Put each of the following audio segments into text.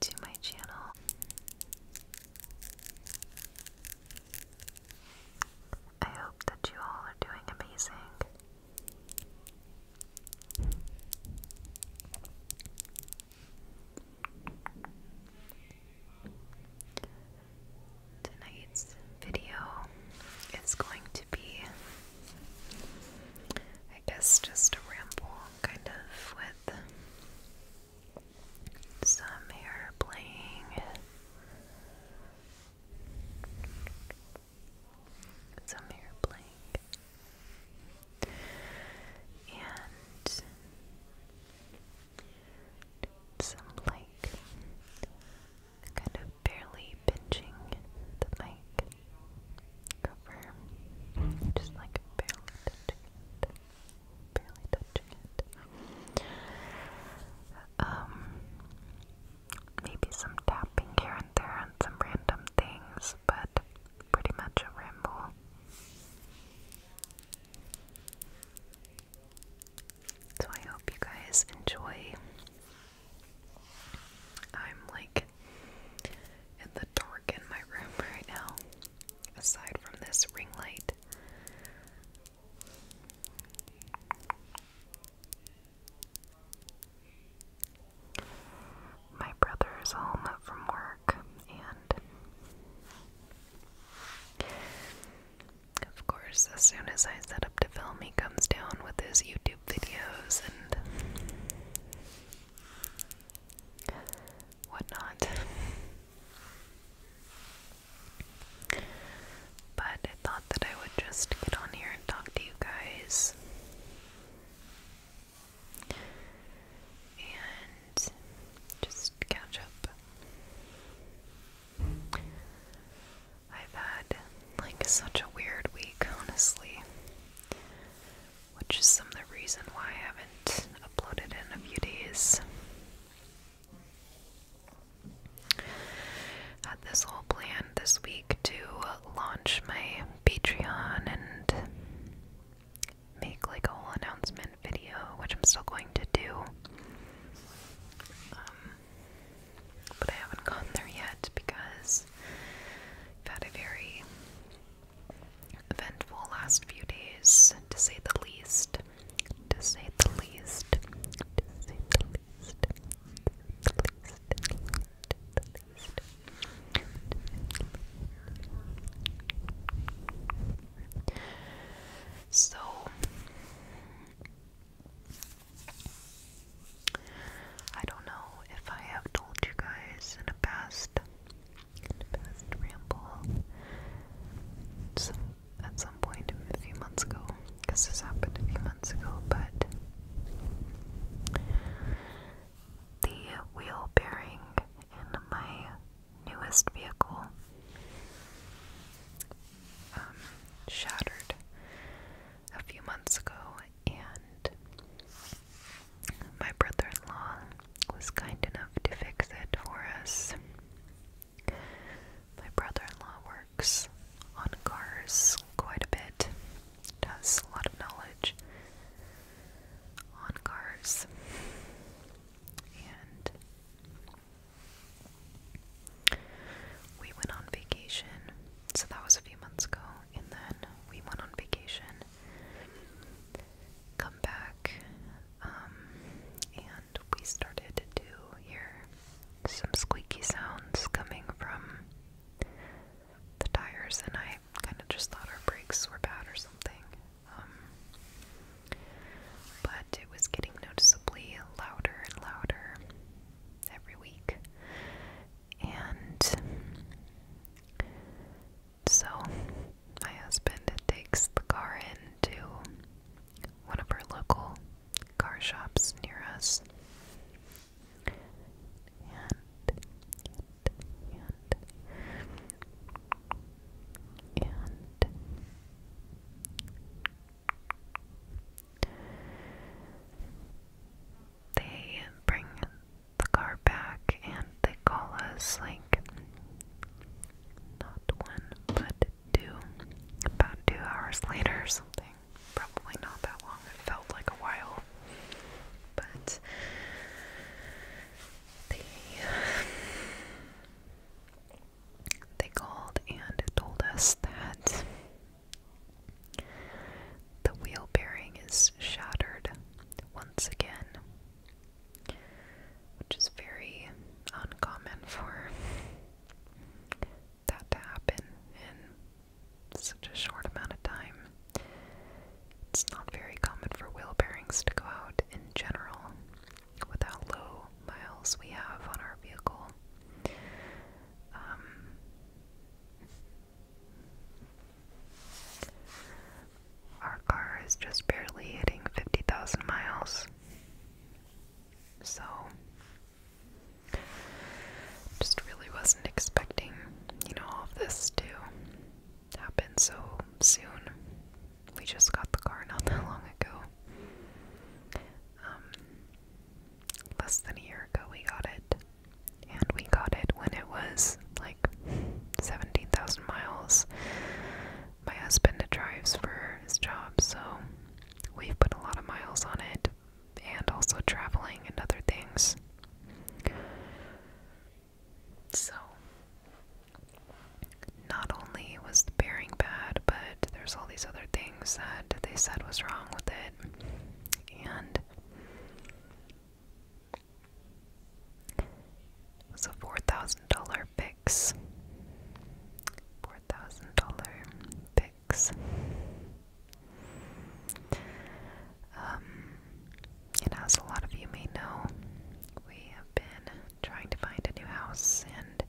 to my channel. I hope that you all are doing amazing. Tonight's video is going to be I guess just a ramble kind of with some hair playing, some hair playing, and some like kind of barely pinching the mic just like barely touching it, barely touching it. Um, maybe some tapping here and there on some random things, but pretty much a ramble. So I hope you guys enjoy I'm like in the dark in my room right now, aside from this ring light. My brother is home from work, and of course, as soon as I set up to film, he comes down with his YouTube videos and whatnot. But I thought that I would just get on here and talk to you guys. And just catch up. I've had like such a weird week, honestly which is some of the reason why I haven't uploaded in a few days. Had this whole plan this week to launch my Patreon and make like a whole announcement video, which I'm still going to do. Um, but I haven't gotten there yet because I've had a very eventful last few days, To say the least. To say the least. So, I don't know if I have told you guys in a past, past ramble, some, at some point a few months ago, because this happened a few months ago, but the wheel bearing in my newest vehicle um, shattered a few months ago, and my brother in law was kind enough to fix it for us. My brother in law works on cars quite a bit, has a lot of knowledge on cars, and we went on vacation so that was a few months ago, and then we went on vacation, come back, um, and we started to hear some squeaky sounds coming from the tires, and I kind of just thought our brakes were bad or something. Um, but it was getting noticeably louder and louder every week, and so my husband takes the car into one of our local car shops near us they bring the car back and they call us like not one but two about two hours later or something probably not that long it felt like a while but they they called and told us that the wheel bearing is shattered once again, which is very uncommon for that to happen in such a short amount of time. It's not very common for wheel bearings to go out in general with how low miles we have on our vehicle. Um, our car is just barely hitting 50,000 miles. So, just really wasn't expecting, you know, all of this to happen so soon. We just got the car not that long ago. Um, less than a year ago, we got it and we got it when it was like 17,000 miles. My husband drives for his job, so we've put a lot of miles on it and also traveling and other things. So, not only was the bearing bad, but there's all these other things that they said was wrong with it. And it a four thousand dollar Pix. Four thousand dollar Pix. Um, and as a lot of you may know, we have been trying to find a new house, and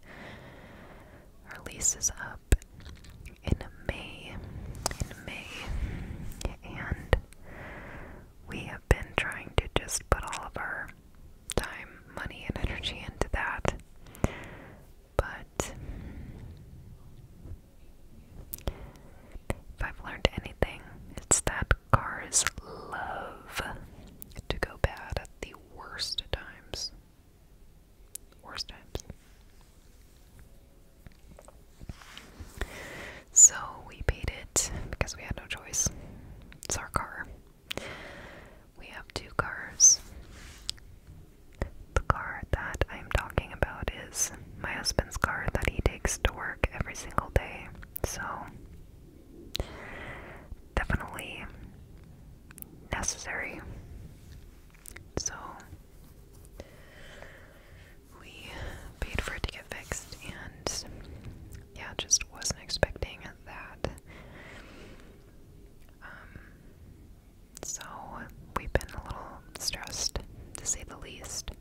our lease is up in May. In May. And we have been trying to just put all of our time, money, and energy into that. But if I've learned anything, it's that cars love to go bad at the worst times. Worst times. So we paid it because we had no choice. It's our car. We have two cars. The car that I'm talking about is my husband's car that he takes to work every single day. So, definitely necessary. So, we paid for it to get fixed, and yeah, just wasn't expecting that. Um, so we've been a little stressed, to say the least.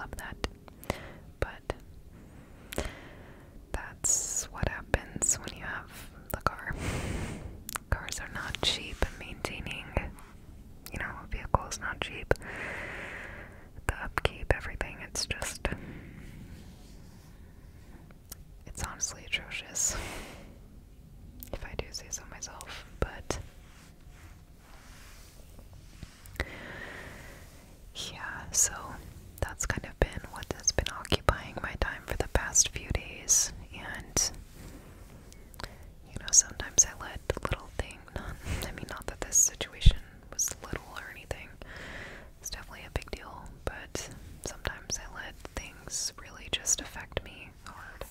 Love that. But that's what happens when you have the car. Cars are not cheap, and maintaining, you know, vehicles not cheap. The upkeep, everything, it's just. It's honestly atrocious. If I do say so myself, but. Yeah, so that's kind of been what has been occupying my time for the past few days, and you know, sometimes I let little thing, not, I mean, not that this situation was little or anything, it's definitely a big deal, but sometimes I let things really just affect me hard.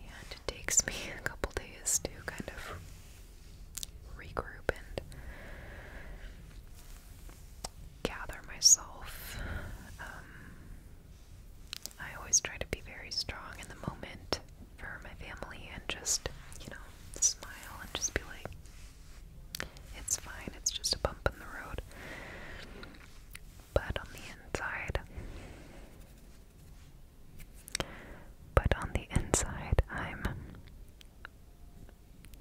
And it takes me a couple days to kind of regroup and gather myself. Um, I always try to be very strong in the moment for my family and just, you know, smile and just be like, it's fine, it's just a bump in the road. But on the inside, but on the inside, I'm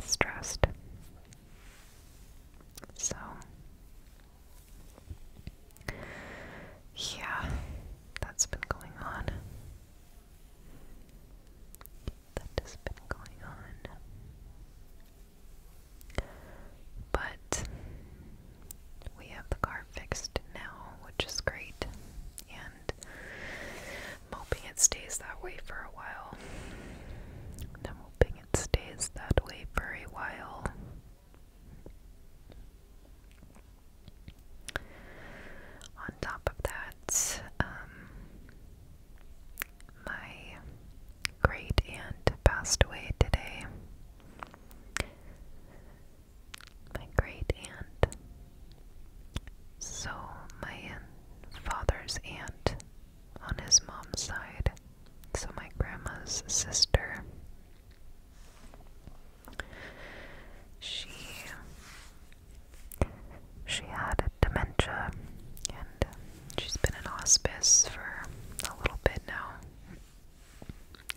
stressed. So, yeah, that's been going on. That has been going on. But we have the car fixed now, which is great. And hoping it stays that way for a while. i hoping it stays that way for a while. On top of that, um, my great aunt passed away today. My great aunt. So, my father's aunt on his mom's side, so my grandma's sister, she she had dementia and she's been in hospice for a little bit now.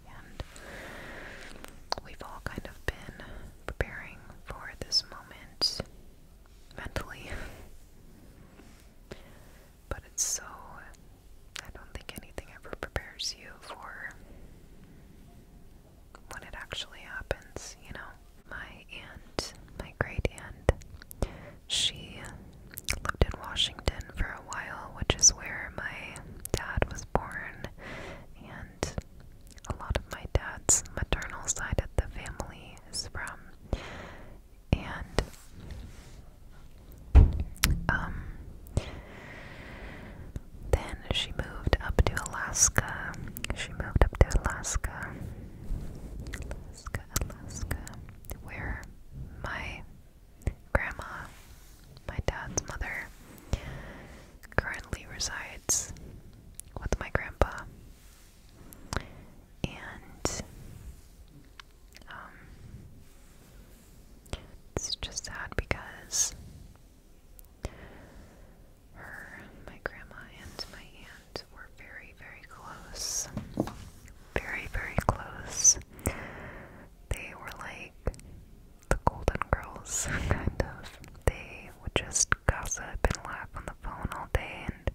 And we've all kind of been preparing for this moment mentally. But it's so. I don't think anything ever prepares you for when it actually happens, you know? My aunt, my great aunt, she lived in Washington for a while, which is where my dad was born, and a lot of my dad's maternal side of the family is from. And um, then she moved up to Alaska. She moved up to Alaska. Alaska, Alaska. Where my grandma, my dad's mother, currently resides with my grandpa. And um, it's just sad because her, my grandma, and my aunt were very, very close. Very, very close. They were like the Golden Girls, kind of. They would just gossip and laugh on the phone all day, and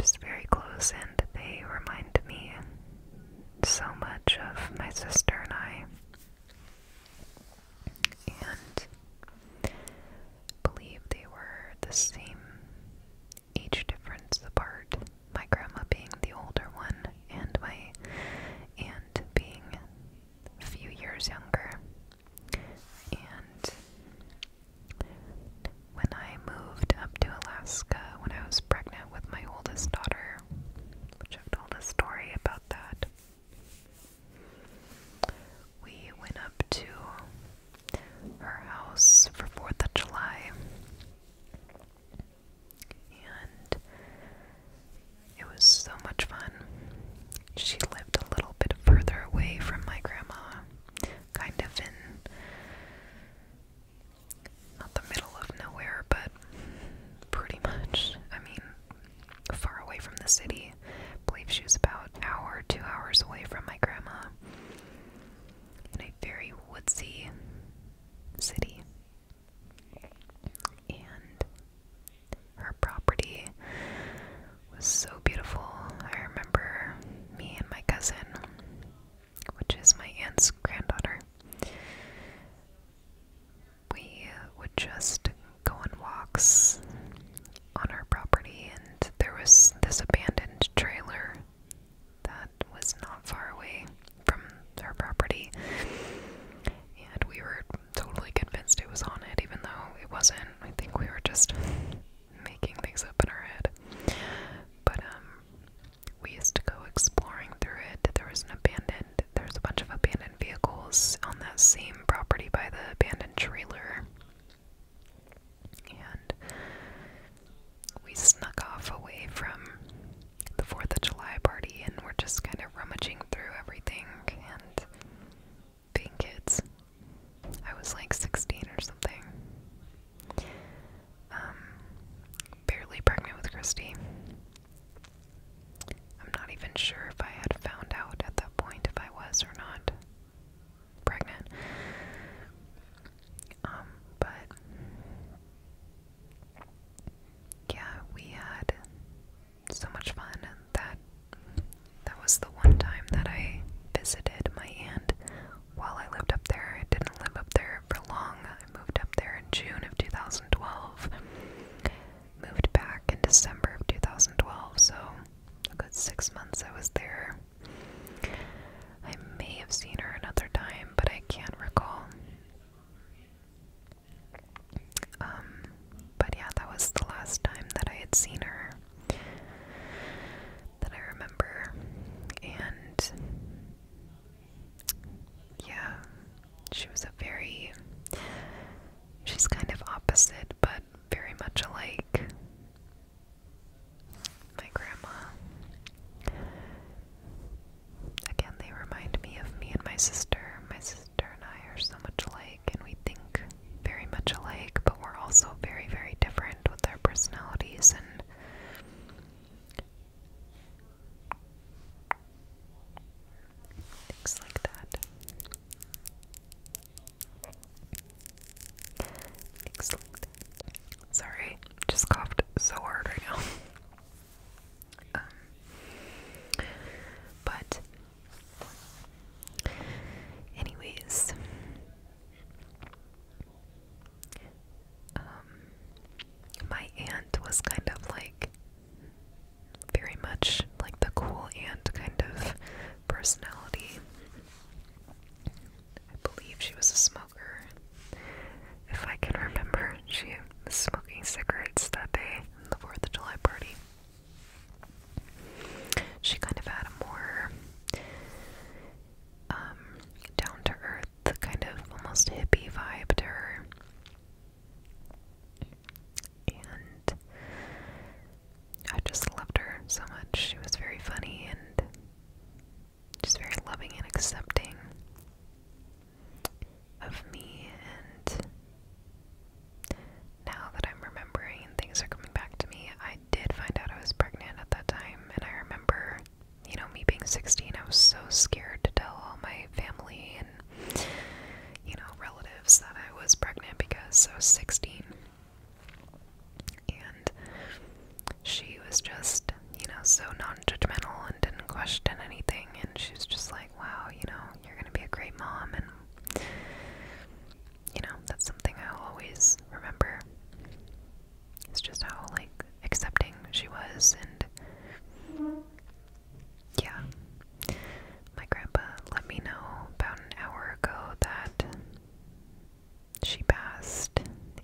just very close, and they remind me so much of my sister and I. And believe they were the same age difference apart. My grandma being the older one, and my aunt being a few years younger. And when I moved up to Alaska when I was pregnant with my oldest daughter, which I've told a story about that. We went up to her house for 4th of July. And it was so much fun. She lived a little bit further away from my grandma, kind of in not the middle of nowhere, but pretty much. I mean, far away from the city. I believe she was about an hour, two hours away from my grandma. In a very woodsy city. And her property was so beautiful. I remember me and my cousin which is my aunt's granddaughter, we would just go on walks on our property, and there was this abandoned trailer that was not far away from our property, and we were totally convinced it was on it, even though it wasn't. I think we were just making things up in our head. But, um, we used to go exploring through it. There was an abandoned, there's a bunch of abandoned vehicles on that same property by the abandoned trailer. And we snuck off away from the 4th of July party and we're just kind of rummaging through everything and being kids. I was like 16 or something. Um, barely pregnant with Christy. I'm not even sure if I had found out at that point if I was or not pregnant. Um, but yeah, we had so much fun and that that was the one time that I visited my aunt while I lived up there. I didn't live up there for long. I moved up there in June of 2012. Moved back in December of 2012, so a good six months I was there. I may have seen her another time, but I can't recall. Um, but yeah, that was the last time that I had seen her that I remember. And yeah, she was a very. She's kind of opposite, but very much alike. My grandma. Again, they remind me of me and my sister. My sister and I are so much alike, and we think very much alike, but we're also very, very different with our personalities and Things like that. Sorry, just coughed so hard right now. Um, but, anyways, um, my aunt was kind of like very much like the cool aunt kind of personality. I believe she was a smoker. If I can remember, she was smoking cigarettes that day in the 4th of July party. She kind of had a more um, down to earth the kind of almost hippie vibe to her. And I just loved her so much. She was very funny and just very loving and accepting of me. And now that I'm remembering things are coming back to me, I did find out I was pregnant at that time. And I remember you know, me being 16, I was so scared to tell all my family and, you know, relatives that I was pregnant because I was 16. And she was just, you know, so non judgmental and didn't question anything. And she was just like, wow, you know, you're going to be a great mom. And, you know, that's something I'll always remember. It's just how like accepting she was and yeah. My grandpa let me know about an hour ago that she passed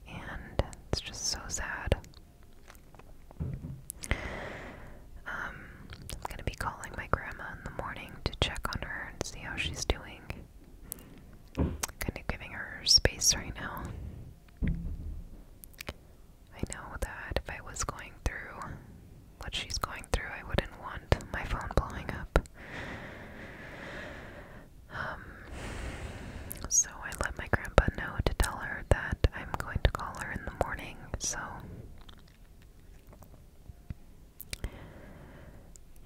and it's just so sad. Um, I'm gonna be calling my grandma in the morning to check on her and see how she's doing. Kind of giving her space right now. I know that if I was going through what she's going through, I wouldn't want my phone blowing up. Um, so I let my grandpa know to tell her that I'm going to call her in the morning, so.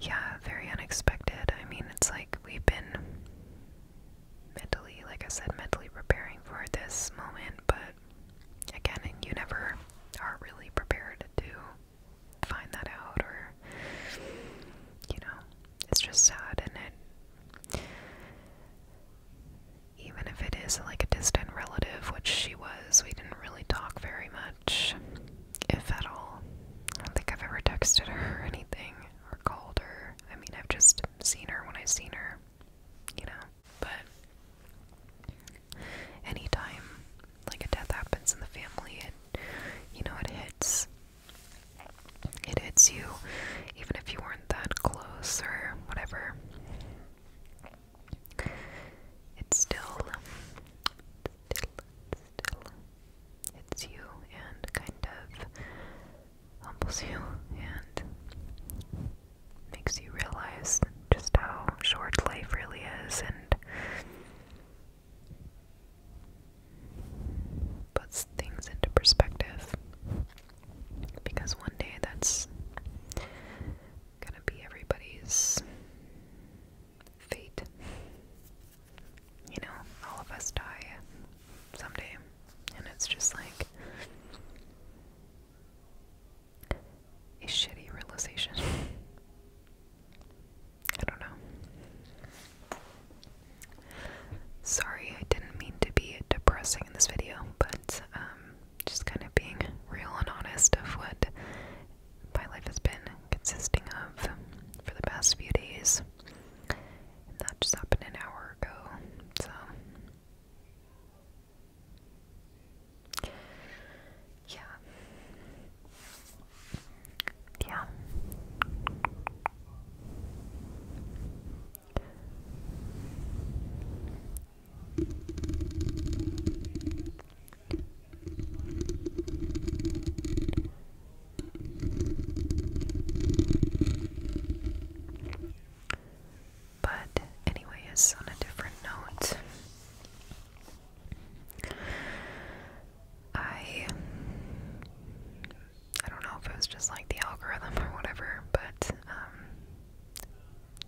Yeah, very unexpected. I mean, it's like we've been mentally, like I said, mentally preparing for this moment, but again, you never are really prepared to find that out, or you know, it's just sad, and it even if it is like a distant relative, which she was, we didn't really talk very much, if at all. I don't think I've ever texted her or anything or called her. I mean, I've just seen her when I've seen her, you know. But anytime like a death happens in the family, it you know it hits. It hits you, even if you weren't that close or whatever. It's still, still, still, it's you, and kind of humbles you and makes you realize just how short life really is and puts things into perspective because one day that's gonna be everybody's fate. You know, all of us die someday. And it's just like a shitty realization. I don't know. Sorry, I didn't mean to be depressing in this video, but um, just kind of being real and honest of what my life has been consisting of for the past few days. And that just happened an hour ago, so. Yeah. Yeah. Good. But, anyways, on a different note, I. I don't know if it was just like the algorithm or whatever, but, um,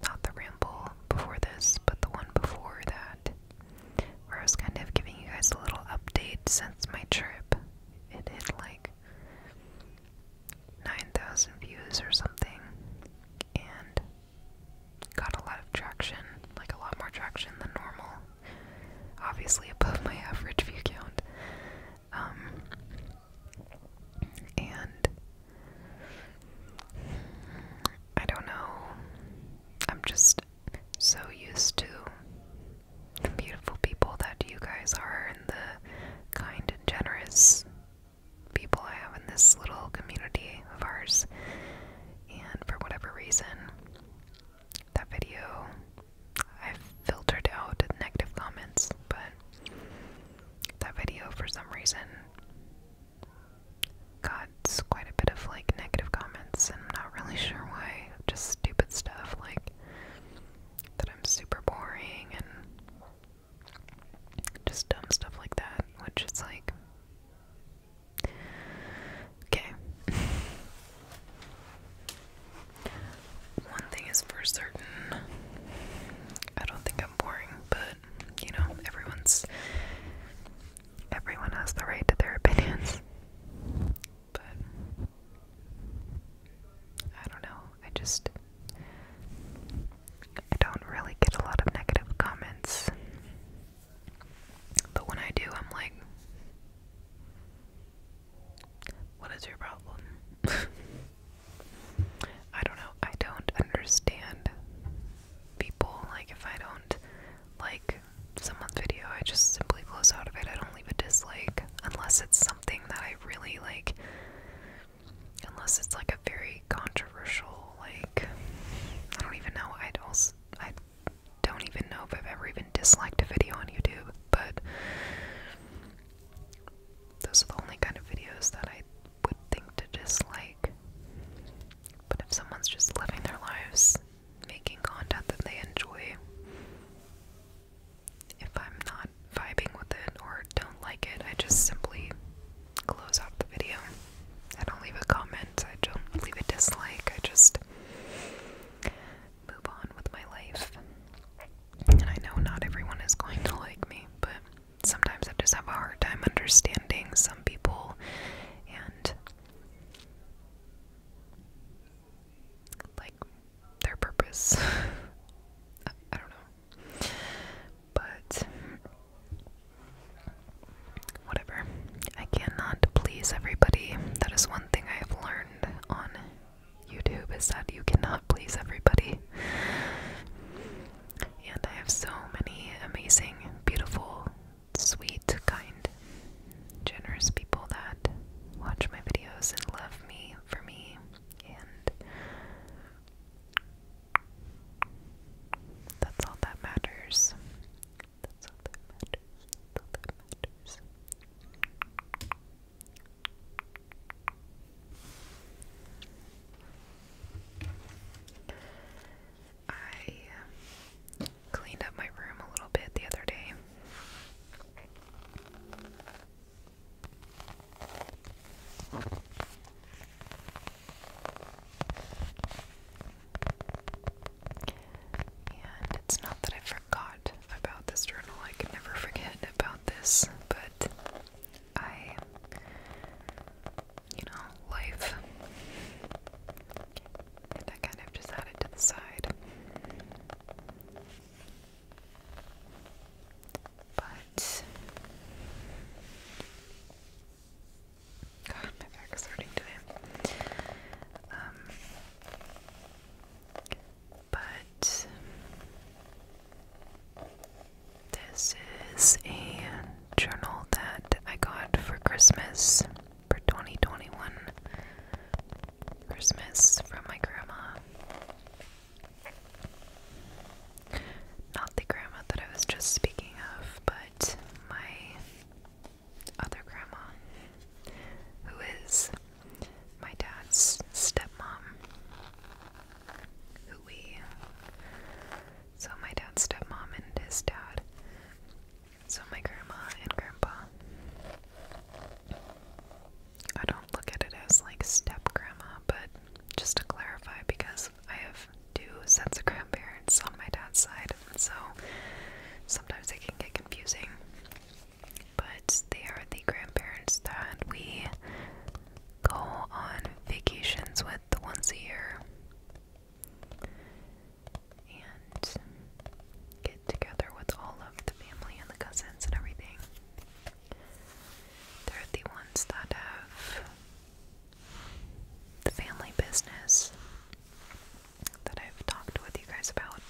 not the ramble before this, but the one before that, where I was kind of giving you guys a little update since my trip. It had like 9,000 views or something and got a lot of traction, like a lot more traction than normal. Obviously, above my average view count. Um, and I don't know. I'm just so used to the beautiful people that you guys are and the kind and generous people I have in this little community of ours. And for whatever reason, that video I've filtered out negative comments, but that video for some reason got quite a bit of like negative comments, I'm not really sure why. Just stupid stuff like that I'm super boring and just dumb stuff like that, which is like. Okay. One thing is for certain. I don't think I'm boring, but you know, everyone's everyone has the right to their opinions but I don't know. I just I don't really get a lot of negative comments. But when I do, I'm like, what is your problem? I don't know. I don't understand people. Like, if I don't like someone's video, I just simply close out of it. I don't leave a dislike unless it's something that I really like. Unless it's like a very controversial, like I don't even know. I'd also I don't even know if I've ever even disliked a video on YouTube, but those are the only kind of videos that I would think to dislike. But if someone's just living their lives making content that they enjoy, if I'm not vibing with it or don't like it, I just simply close off the video. I don't leave a comment, I don't leave a dislike, I just move on with my life. And I know not everyone is going to like me, but sometimes I just have a hard time understanding some people and like their purpose. I, don't know. But whatever. I cannot please everybody. That is one thing I have learned on YouTube is that you cannot please everybody. And I have so many amazing, beautiful, sweet, kind, generous people that watch my videos and love me for me and that's all that matters. That's all that matters. That's all that matters. I uh, cleaned up my room a little bit the other day. And it's not that I forgot about this journal, I can never forget about this, but I, you know, life. And kind of just had it to the side. But God, my back is hurting today. Um, but this is a journal that I got for Christmas for 2021 Christmas from my grandma. Not the grandma that I was just speaking of, but my other grandma, who is my dad's stepmom. Who we. So, my dad's stepmom and his dad. So, my grandma and grandpa. I don't look at it as like step grandma, but just to clarify, because I have two sets of grandparents on my dad's side, so sometimes it can get confusing. But they are the grandparents that we go on vacations with once a year and get together with all of the family and the cousins and everything. They're the ones that have the family business that I've talked with you guys about.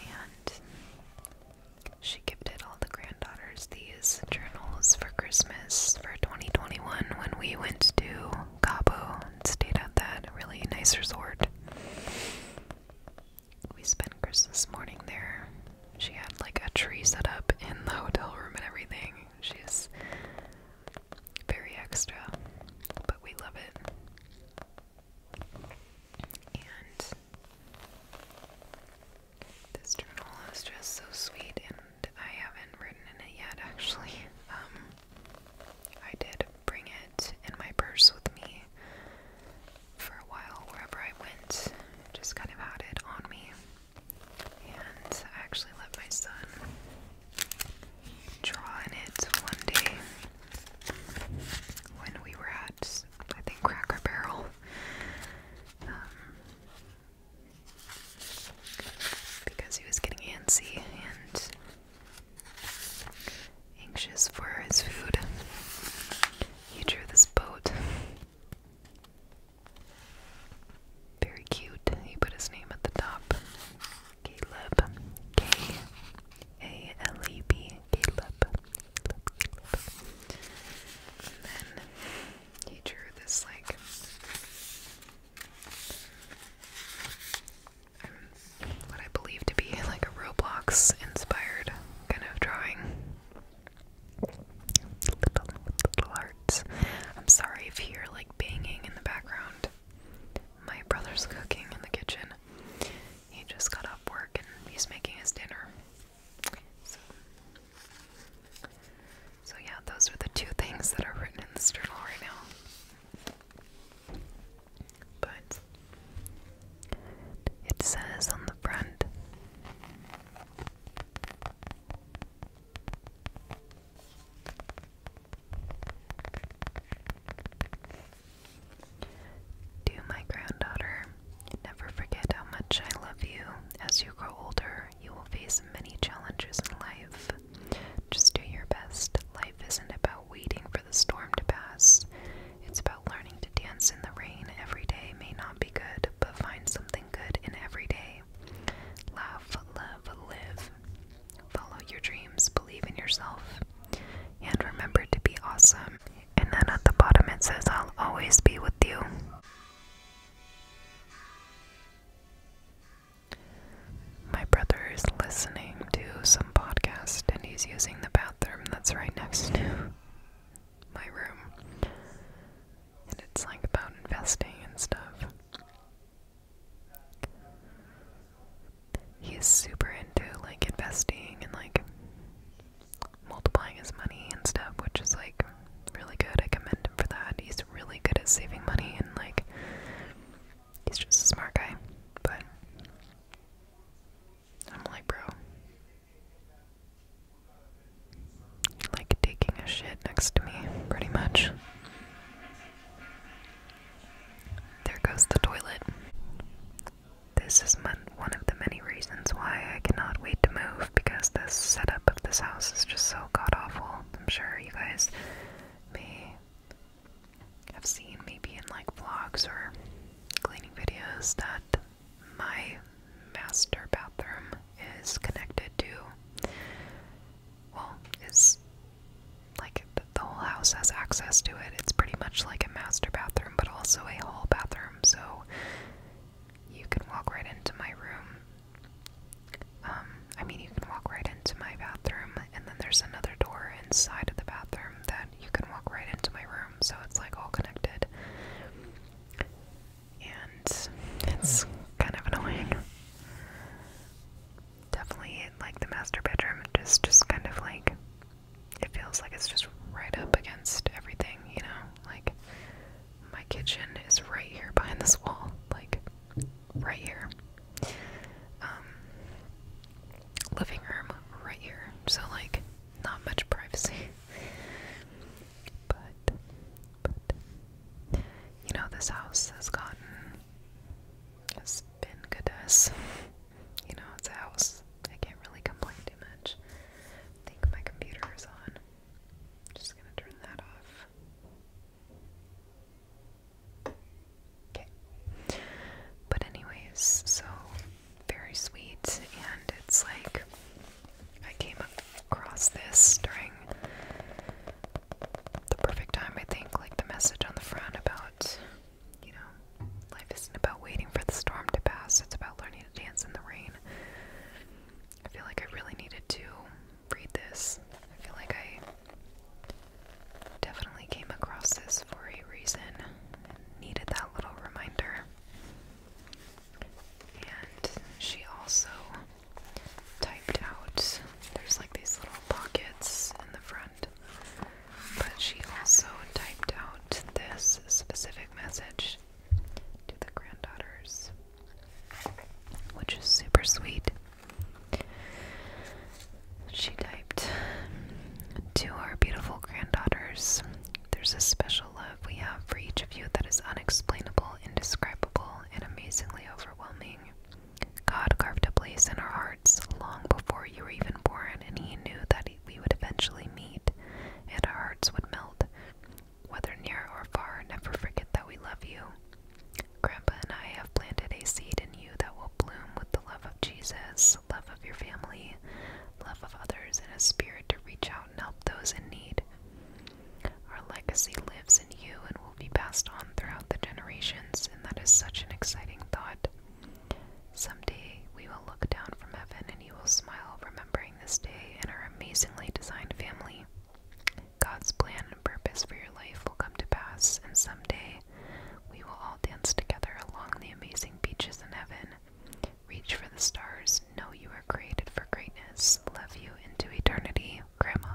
And she gifted all the granddaughters these journals for Christmas for 2021 when we went to Cabo and stayed at that really nice resort we spent Christmas morning there. She had like a tree set up in the hotel room and everything. She's very extra, but we love it. And this journal is just so sweet, and I haven't written in it yet actually. Um, I did bring it in my purse with me for a while wherever I went, just kind of had it on me. And I actually let my son draw in it one day when we were at, I think, Cracker Barrel. Um, because he was getting antsy and anxious for his food. He drew this boat. Very cute. He put his name at the top. Caleb. Caleb. Caleb. And then he drew this like um, what I believe to be like a Roblox inspired kind of drawing. Little, little hearts. I'm sorry if you hear like banging in the background. My brother's cooking in the kitchen. He just got up work and he's making his dinner. So, yeah, those are the two things that are written in this journal right now. But it says on the front To my granddaughter, never forget how much I love you. As you grow older, you will face many challenges in life. Just do your best. Life isn't about waiting for the storm to pass. It's about learning to dance in the rain. Every day may not be good, but find something good in every day. Laugh, love, live. Follow your dreams, believe in yourself, and remember to be awesome. And then at the bottom it says, I'll always be with you. My brother is listening to some podcast and he's using the bathroom that's right next to my room. And it's like about investing and stuff. He's super into like investing and like multiplying his money and stuff, which is like really good. I commend him for that. He's really good at saving money and like he's just a smart guy. But I'm like, bro, like taking a shit next to me, pretty much. There goes the toilet. This is one of the many reasons why I cannot wait to move because the setup of this house is just so god awful. I'm sure you guys may have seen maybe in like vlogs or cleaning videos that my master bathroom is connected to, well, is like the whole house has access to it. It's pretty much like a master bathroom, but also a hall bathroom, so you can walk right into my room. Um, I mean, you can walk right into my bathroom, and then there's another door inside of the bathroom that you can walk right into my room, so it's like all connected and it's kind of annoying. Definitely like the master bedroom, just just kind of like it feels like it's just right up against everything, you know? Like my kitchen is right here behind this wall, like right here. Um living room right here. So like not much privacy but, but, you know, this house has gotten, has been good to us. You know, it's a house. I can't really complain too much. I think my computer is on. just gonna turn that off. Okay. But anyways, so very sweet, and it's like I came across this during the perfect time, I think, like the message on the front about, you know, life isn't about waiting for the storm to pass, it's about learning to dance in the rain. I feel like I really needed to read this. I feel like I definitely came across this for a reason and needed that little reminder. And she also typed out, there's like these little pockets in the front, but she also typed out this specific message to the granddaughters, which is super sweet. She typed to our beautiful granddaughters, there's a special love we have for each of you that is unexplainable, indescribable, and amazingly overwhelming. God carved a place in our hearts long before you were even born, and He knew that we would eventually meet and our hearts would melt. Whether near or far, never forget that we love you. Grandpa and I have planted a seed in you that will bloom with the love of Jesus, love of your family, love of others, and a spirit to reach help those in need. Our legacy lives in you and will be passed on throughout the generations, and that is such an exciting thought. Someday we will look down from heaven and you will smile, remembering this day and our amazingly designed family. God's plan and purpose for your life will come to pass, and someday we will all dance together along the amazing beaches in heaven, Reach for the stars. Know you are created for greatness. Love you into eternity. Grandma.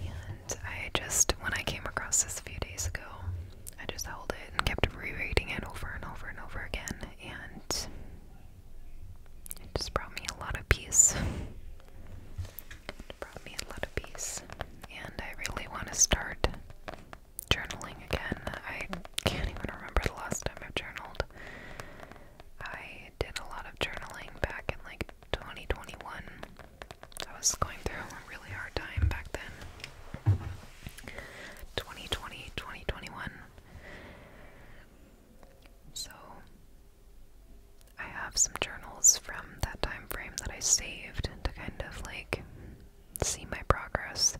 And I just, when I came across this a few days ago, I just held it and kept rereading it over and over and over again, and it just brought me a lot of peace brought me a lot of peace, and I really want to start journaling again. I can't even remember the last time i journaled. I did a lot of journaling back in like 2021. I was going through a really hard time back then. 2020, 2021. So I have some journals from that time frame that I saved to kind of like see my progress.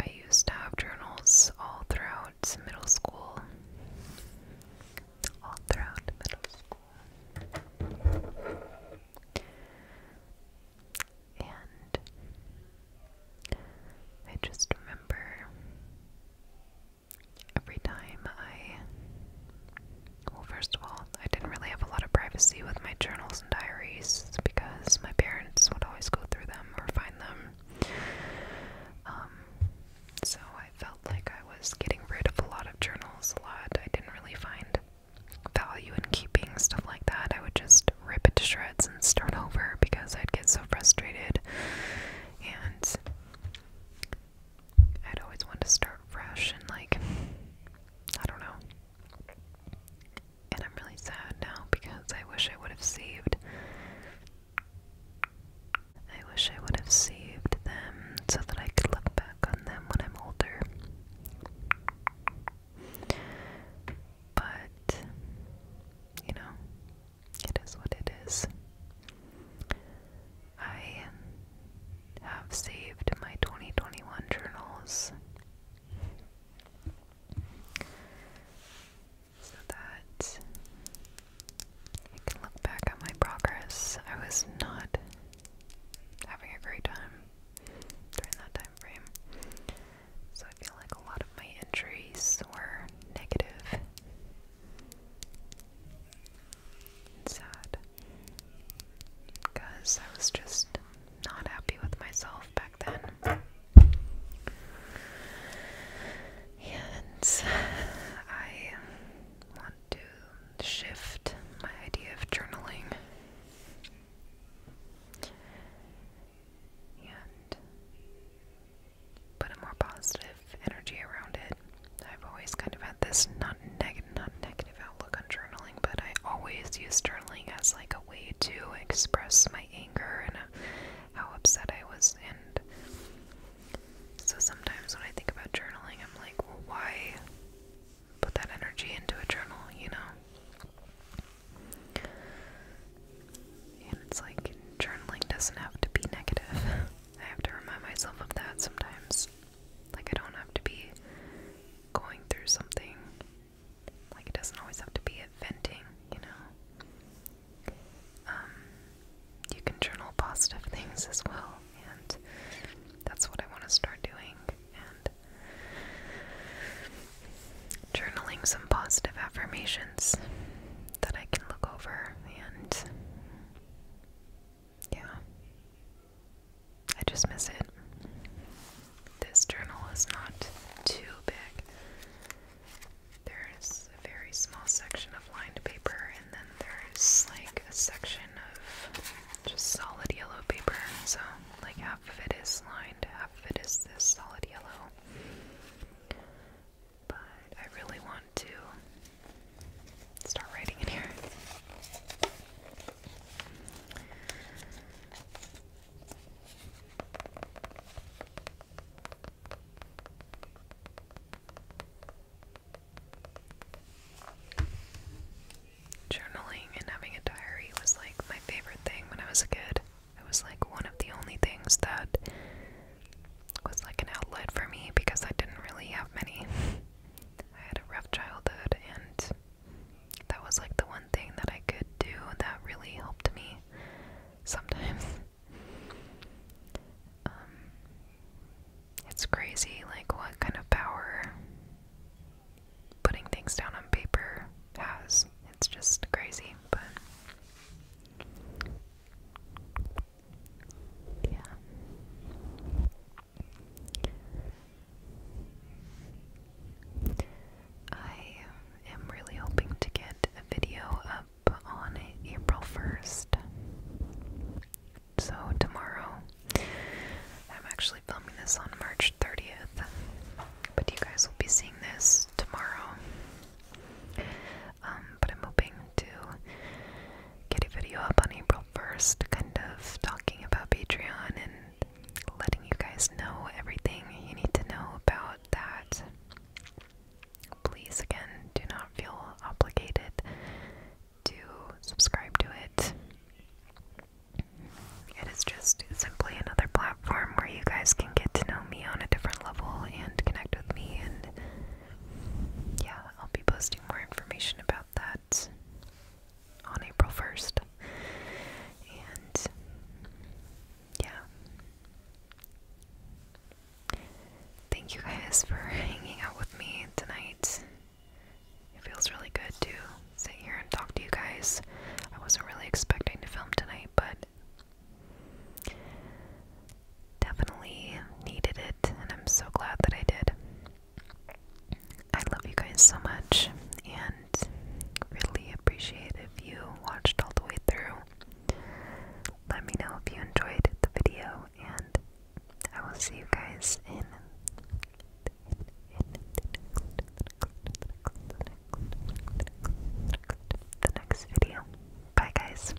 I used to have journals all throughout middle school. All throughout middle school. And I just remember every time I. Well, first of all, I didn't really have a lot of privacy with my journals and diaries because my parents would always go through them or find them. Um, so I felt like I was getting rid of a lot of journals, a lot. I didn't really find value in keeping stuff like that. I would just rip it to shreds and start over because I'd get so frustrated. And I'd always wanted to start fresh and like I don't know. And I'm really sad now because I wish I would have saved I wish I would have saved them so that I could look back on them when I'm older. But you know, it is what it is. I have saved my 2021 journals. So that I can look back at my progress. I was not having a great time during that time frame. So I feel like a lot of my entries were negative sad. Because I was just not happy with myself back then. And I want to shift my idea of journaling. And put a more positive energy around it. I've always kind of had this not negative, not negative outlook on journaling, but I always use journaling as like a way to express my anger and uh, how upset I was. And so sometimes when I think about journaling, I'm like, well, why put that energy into a journal? You know. And it's like journaling doesn't have to be negative. I have to remind myself of that sometimes. Like, I don't have to be going through something. Like, it doesn't always have to be venting, you know? Um, you can journal positive things as well, and that's what I want to start doing. And journaling some positive affirmations that I can look over and yeah. I just miss it. This journal is not too big. There's a very small section of lined paper, and then there's like a section of just solid yellow paper. So, like, half of it is lined, half of it is this solid yellow. But I really want to start writing in here. Journaling and having a diary was like my favorite thing when I was a kid. It was like one of the only things that was like an outlet for me because I didn't really have many. I had a rough childhood, and that was like the one thing that I could do that really helped me sometimes. Um, it's crazy, like, what kind of power putting things down on paper has. It's just crazy, but yeah. I am really hoping to get a video up on April 1st. So, tomorrow. I'm actually filming this on March 30th, but you guys will be seeing this tomorrow. Um, but I'm hoping to get a video up on April 1st, kind of talking about Patreon and letting you guys know everything you need to know about that. Please, again, do not feel obligated to subscribe to it. It is just simply another platform where you guys can get to know me on a different level and connect with me and yeah, I'll be posting more information about that on April 1st. And yeah. Thank you guys for hanging out with me tonight. It feels really good to sit here and talk to you guys. I wasn't really expecting to film tonight, but Definitely needed it, and I'm so glad that I did. I love you guys so much, and really appreciate if you watched all the way through. Let me know if you enjoyed the video, and I will see you guys in. The next video. Bye, guys.